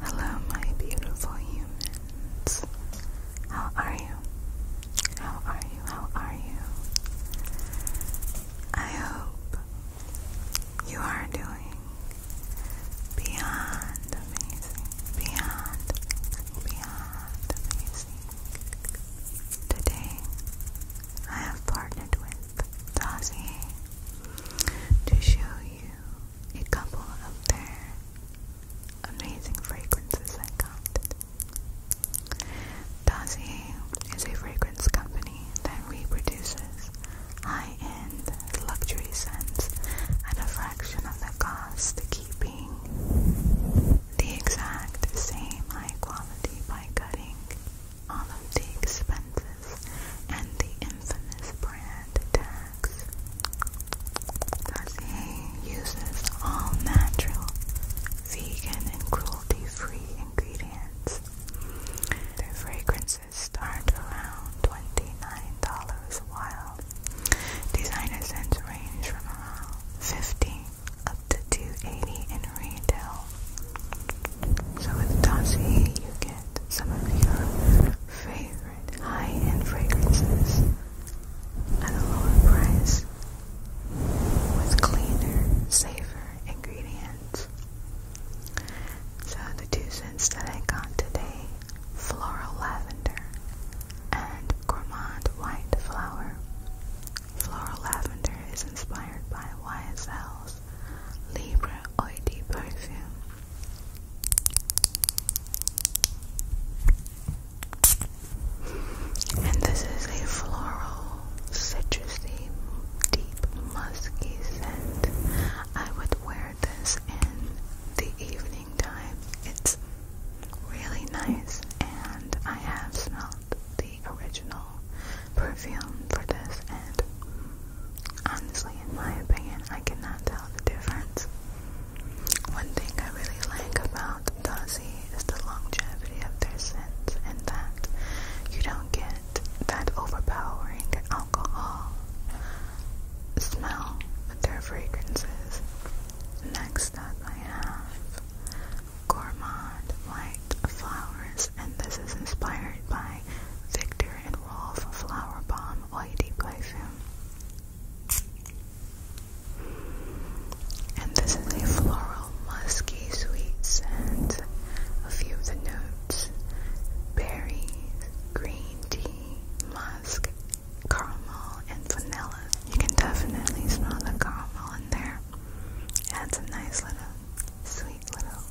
Hello, my beautiful humans. How are you? How are you? How are you? I hope you are doing beyond amazing, beyond, beyond amazing. Today, I have partnered with with Dazzy to show you a couple of their amazing fragrances I is a fragrance company that reproduces high-end luxury scents at a fraction of the cost, keeping the exact same high quality by cutting all of the expenses and the infamous brand tax. Garcier uses all natural, vegan, and cruelty-free ingredients. Their fragrances start around $29 while. Designer scents range from around 50 up to in retail. So with Dossie, you get some of your favorite high-end fragrances at a lower price with cleaner, safer ingredients. So the two scents that I got today, floral lavender and gourmand white flower. Floral lavender is inspired by YSL's Libra Oidi perfume. And this is a floral, citrusy, deep, musky scent. I would wear this in the evening time. It's really nice, and I have smelled the original perfume for this, and honestly, in my opinion, I cannot tell the difference. One thing I really like about Dazzy is the longevity of their scent, and that you don't get that overpowering alcohol smell with their fragrances. Next up, I have gourmand white flowers, and this is inspired by Victor and Rolf Flower Bomb Oil Deep Perfume. And this is a floral, musky, sweet scent. A few of the notes berries, green tea, musk, caramel, and vanilla. You can definitely smell the caramel in there. Adds a nice little, sweet little,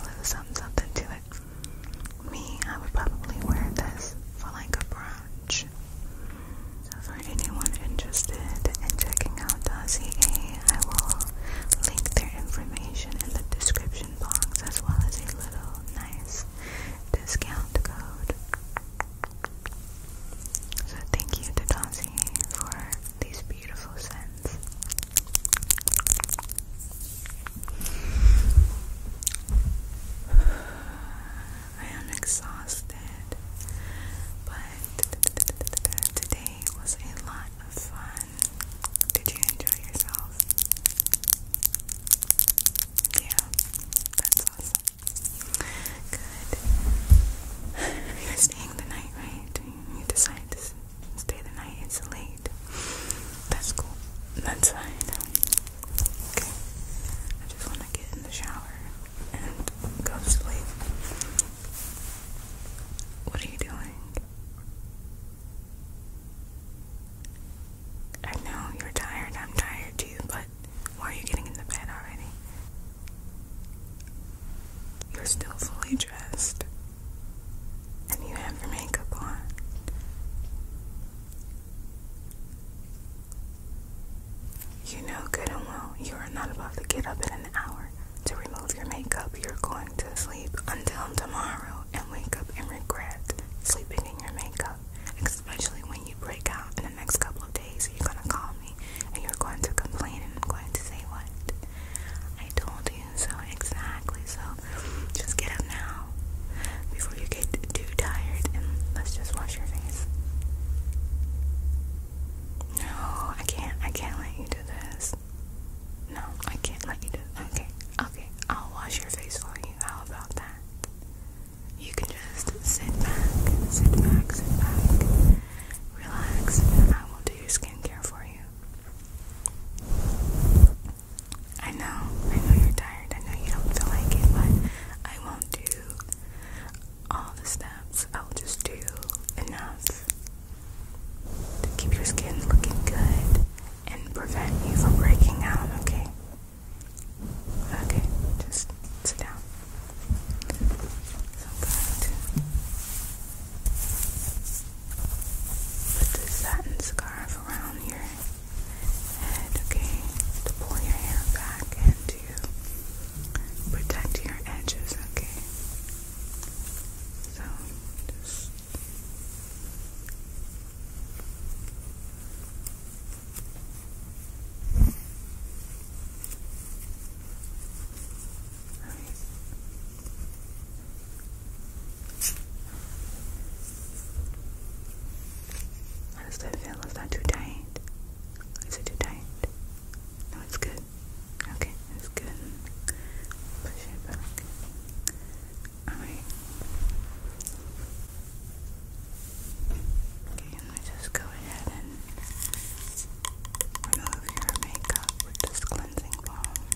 little something, something to it. Me, I would probably wear this for like a brunch. So for anyone interested in checking out Dazzy I will link their information in the description box as well as a little nice discount code. So thank you to Dazzy for these beautiful scents. I am exhausted, but today was a lot of fun. Did you enjoy yourself? Yeah, that's awesome. Good. You're staying the night, right? you decide to stay the night, it's late. That's cool. That's fine. Okay. I just want to get in the shower and go to sleep. What are you doing? I know you're tired, I'm tired too, but why are you getting in the bed already? You're still fully dressed, and you have your makeup on. You know good and well you are not about to get up in an hour to remove your makeup. You're going to sleep until tomorrow and wake up and regret sleeping in your makeup, especially when you break out in the next couple of days. So you're gonna call me and you're going to complain and I'm going to say what? I told you so exactly. So just get up now before you get too tired and let's just wash your face. No, I can't. I can't let you do this. No, I can't let you do this. Okay, okay. I'll wash your face for you. How about that? You can just sit back, sit back, sit back relax, and I will do your skincare for you. I know, I know you're tired, I know you don't feel like it, but I won't do all the steps. I'll just do enough to keep your skin looking good and prevent you from breaking out, okay? Okay, just sit down. Put the satin scarf around your head, okay? To pull your hair back and to protect your edges, okay? So, just. How does that feel? Is that too tight? Is it too tight? No, it's good. Okay, it's good. Push it back. Alright. Okay and we just go ahead and remove your makeup with this cleansing balm.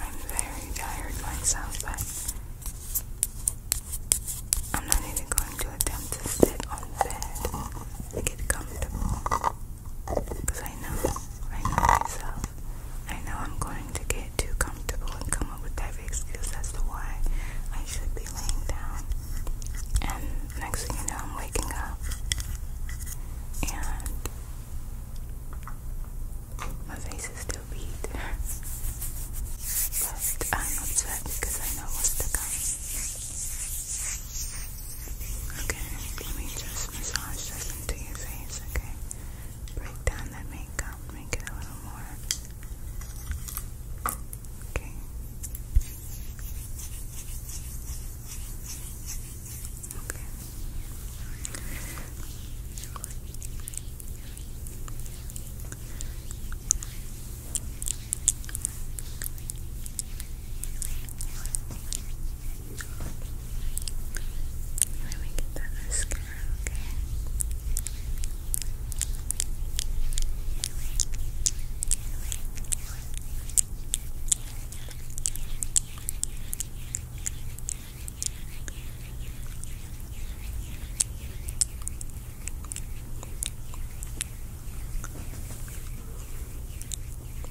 I'm very tired myself, but I'm not even going to attempt to sit on bed get comfortable. Because I know, I know myself. I know I'm going to get too comfortable and come up with every excuse as to why I should be laying down. And next thing you know, I'm waking up. And my face is still beat. but I'm not sad because I know what's to come. Okay, let me just massage this into your face, okay? break down that makeup, make it a little more. Okay. Okay. Let me get that mascara, Okay.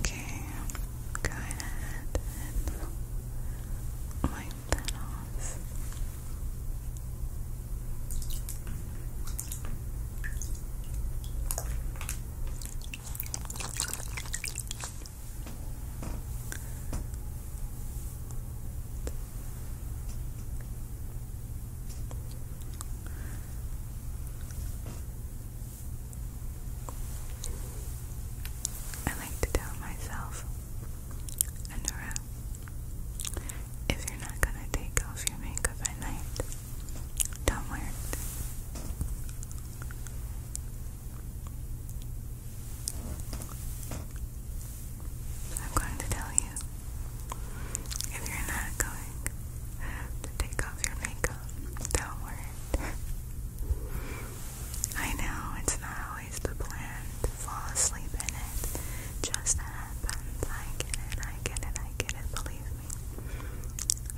Okay, go ahead and wipe I like to tell myself, Anura, if you're not gonna take off your makeup at night, don't wear it. I'm going to tell you, if you're not going to take off your makeup, don't worry. I know it's not always the plan to fall asleep in it. Just happens. I get it. I get it. I get it. Believe me.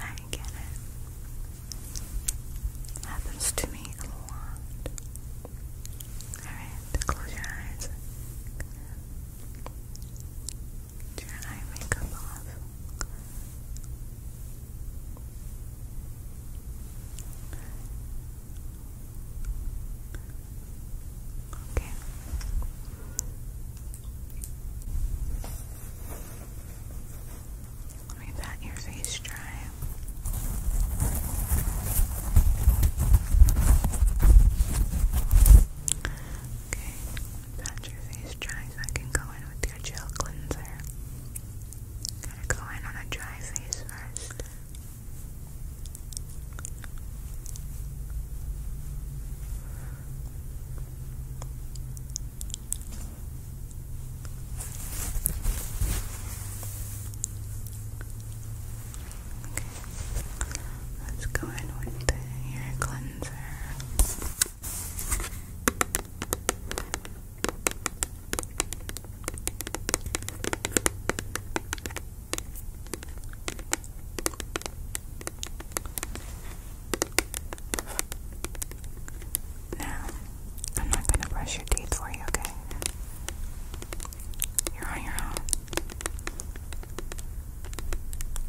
I get it. Happens to me a lot. Alright, close your eyes. Turn your eye makeup off. Okay. Let me pat your face dry. Okay. Got your face dry so I can go in with your gel cleanser. Gotta go in on a dry face first. Okay, let's go in with your hair cleanser. Now, I'm not going to brush your teeth for you, okay? You're on your own.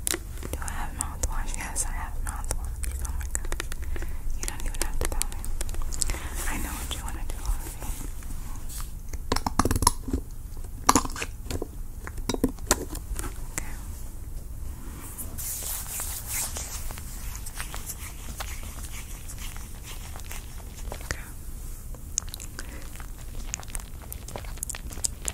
Do I have mouthwash? Yes, I have mouthwash. Oh my gosh. You don't even have to tell me. I know what you want to do Okay. Okay.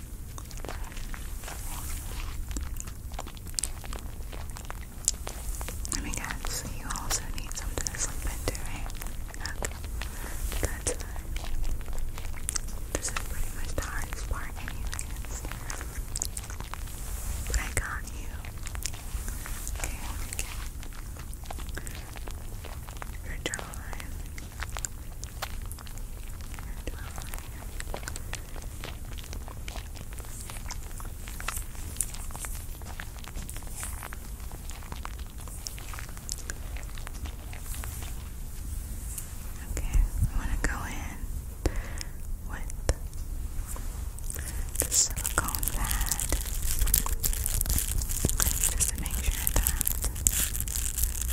Let guess, you also need something to sleep into, right? This is pretty much the hardest part anyways. But I got you. Okay, okay. Your jawline. Okay, I want to go in with the silicone pad just to make sure that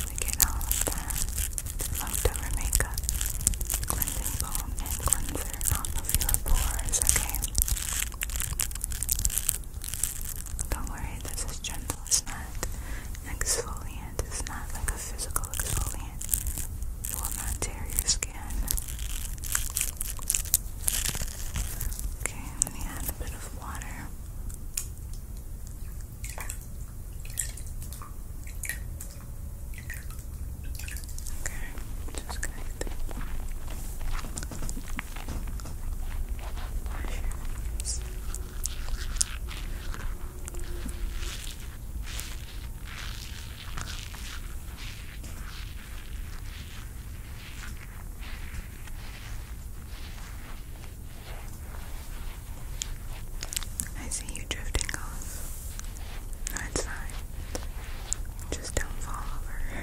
we get all of that leftover makeup, cleansing balm, and cleanser off of your pores, okay? Don't worry, this is gentle, it's not exfoliant, it's not like a physical exfoliant. It will not tear your skin. Okay, I'm gonna add a bit of water. Okay, just gonna get the wash your hands. Okay. I see you drifting off. No, fine. Just don't fall over.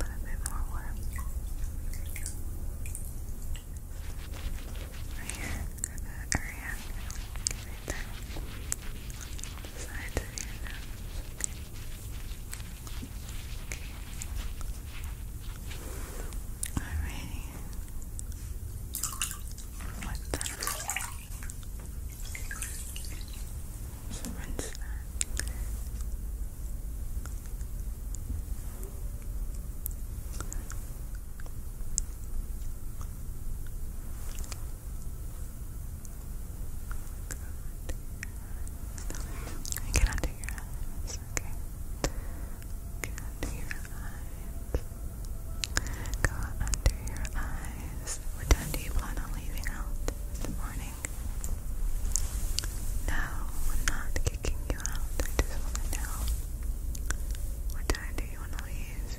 a little bit more warm. here, area. Right there. of your Alrighty. What's that? Rinse that. Good. I get under your eyes, okay? Get under your eyes. Go under your eyes. What time do you plan on leaving out in morning? No, not kicking you out. I just want to know. What time do you want to leave?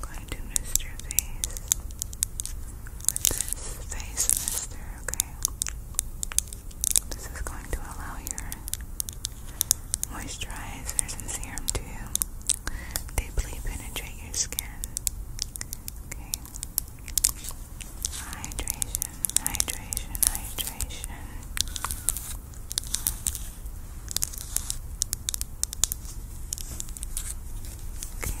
going to mist your face with this face mister, okay? This is going to allow your moisturizers and serum to deeply penetrate your skin. Okay. Hydration, hydration, hydration. Okay.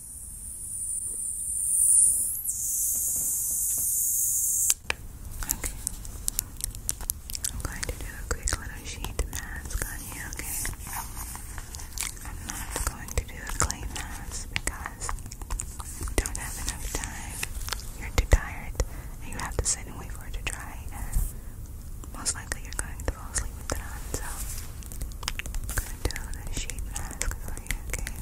Okay. I'm going to do a quick little sheet mask on you, okay? I'm not going to do a clay mask because you don't have enough time. You're too tired and you have to sit and wait for it to dry most likely you're going to fall asleep with it on, so I'm gonna do another sheet mask for you, Okay.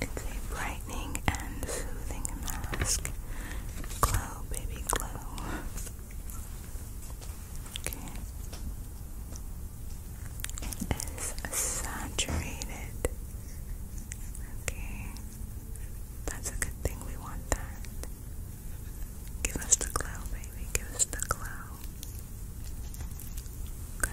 It's a brightening and soothing mask. Glow, baby, glow. Okay. It is saturated. Okay. That's a good thing. We want that. Give us the glow, baby. Give us the glow. Okay.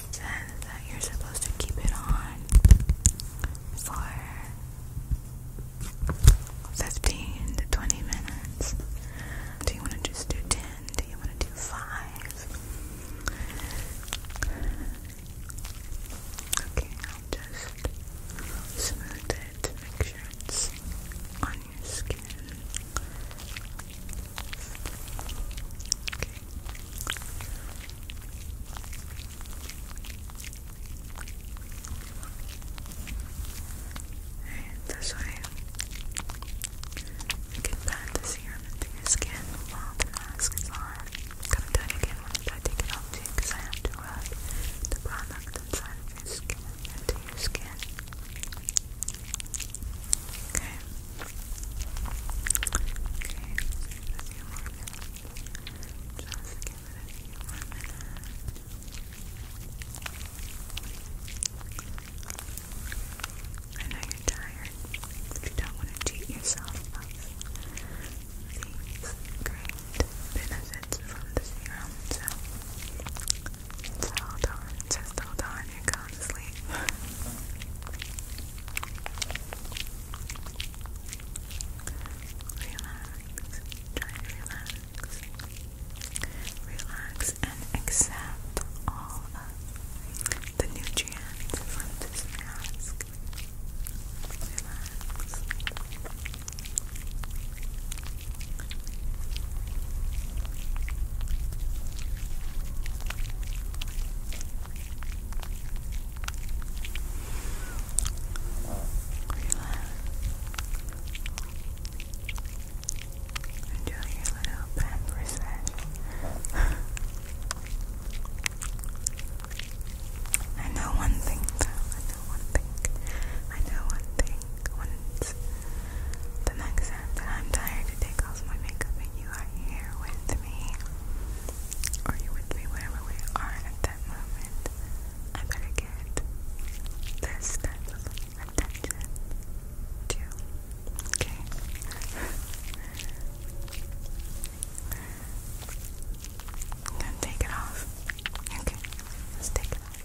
that you're supposed to keep it on for 15 to 20 minutes. Do you want to just do 10? Do you want to do 5? Okay, I'll just smooth it to make sure it's on your skin. Okay, and this way, you can pat the serum skin while the mask on. I'm again once I take it off too, because I to rub uh, the product inside of your skin into your skin. Okay. I know you're tired, but you don't want to cheat yourself of these great benefits from the serum, so just hold on, just hold on, you're going to sleep. Relax. Try to relax. Relax and accept all of the nutrients from this mask. Relax. Enjoy your little pamperous I know one thing though, I know one thing. I know one thing. Once the next that I'm tired to take my makeup and you are here with me, are you with me wherever we are at that moment? I better get this type of attention too. Okay. Then take it off. Okay, let's take it off.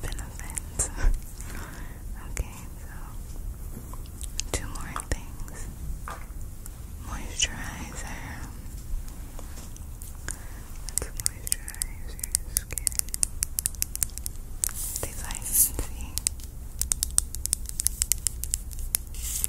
benefits. okay, so two more things. Moisturizer. let your skin. These I see. Moisturizer.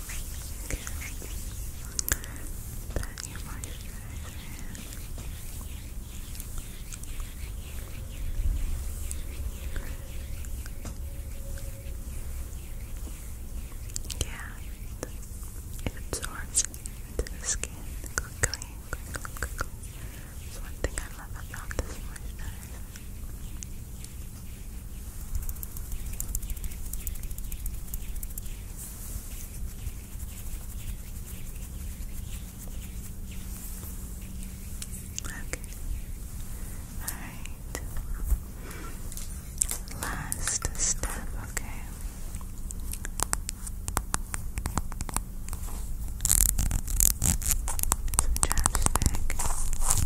That your yeah, it absorbs into the skin quickly, one thing I love about this moisturizer. Okay. Alright. Last step, okay. Some chapstick.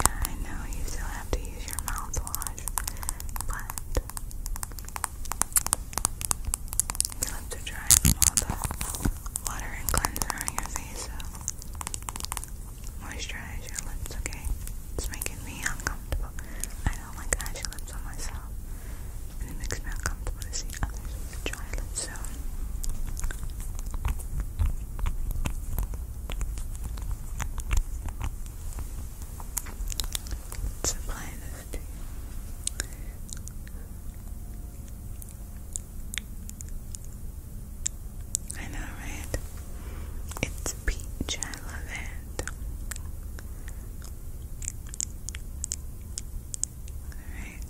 Yeah, I know you still have to use your mouthwash, but you have to dry from all the water and cleanser on your face, so moisturize your lips, okay? It's making me uncomfortable. I don't like ashy lips on myself, it makes me uncomfortable to see others with dry lips, so. Supply this to you. I know, right? It's peach, I love it. Alright.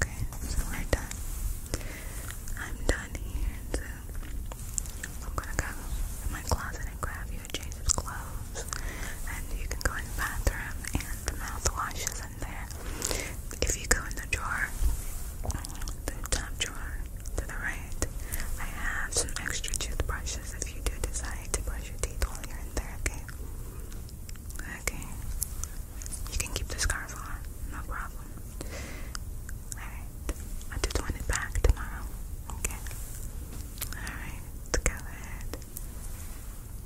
Okay, so we're done. I'm done here, so I'm gonna go in my closet and grab you a change of clothes, and you can go in the bathroom and the mouthwash is in there. If you go in the drawer, the top drawer to the right, I have some extra toothbrushes if you do decide to brush your teeth while you're in there. Okay. Okay. You can keep the scarf on, no problem. Alright. I just want it back tomorrow. Okay. Alright, go ahead.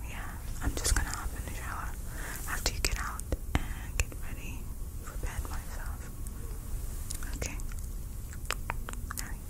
Yeah, I'm just gonna hop in the shower after you get out and get ready for bed myself. Okay. Alright.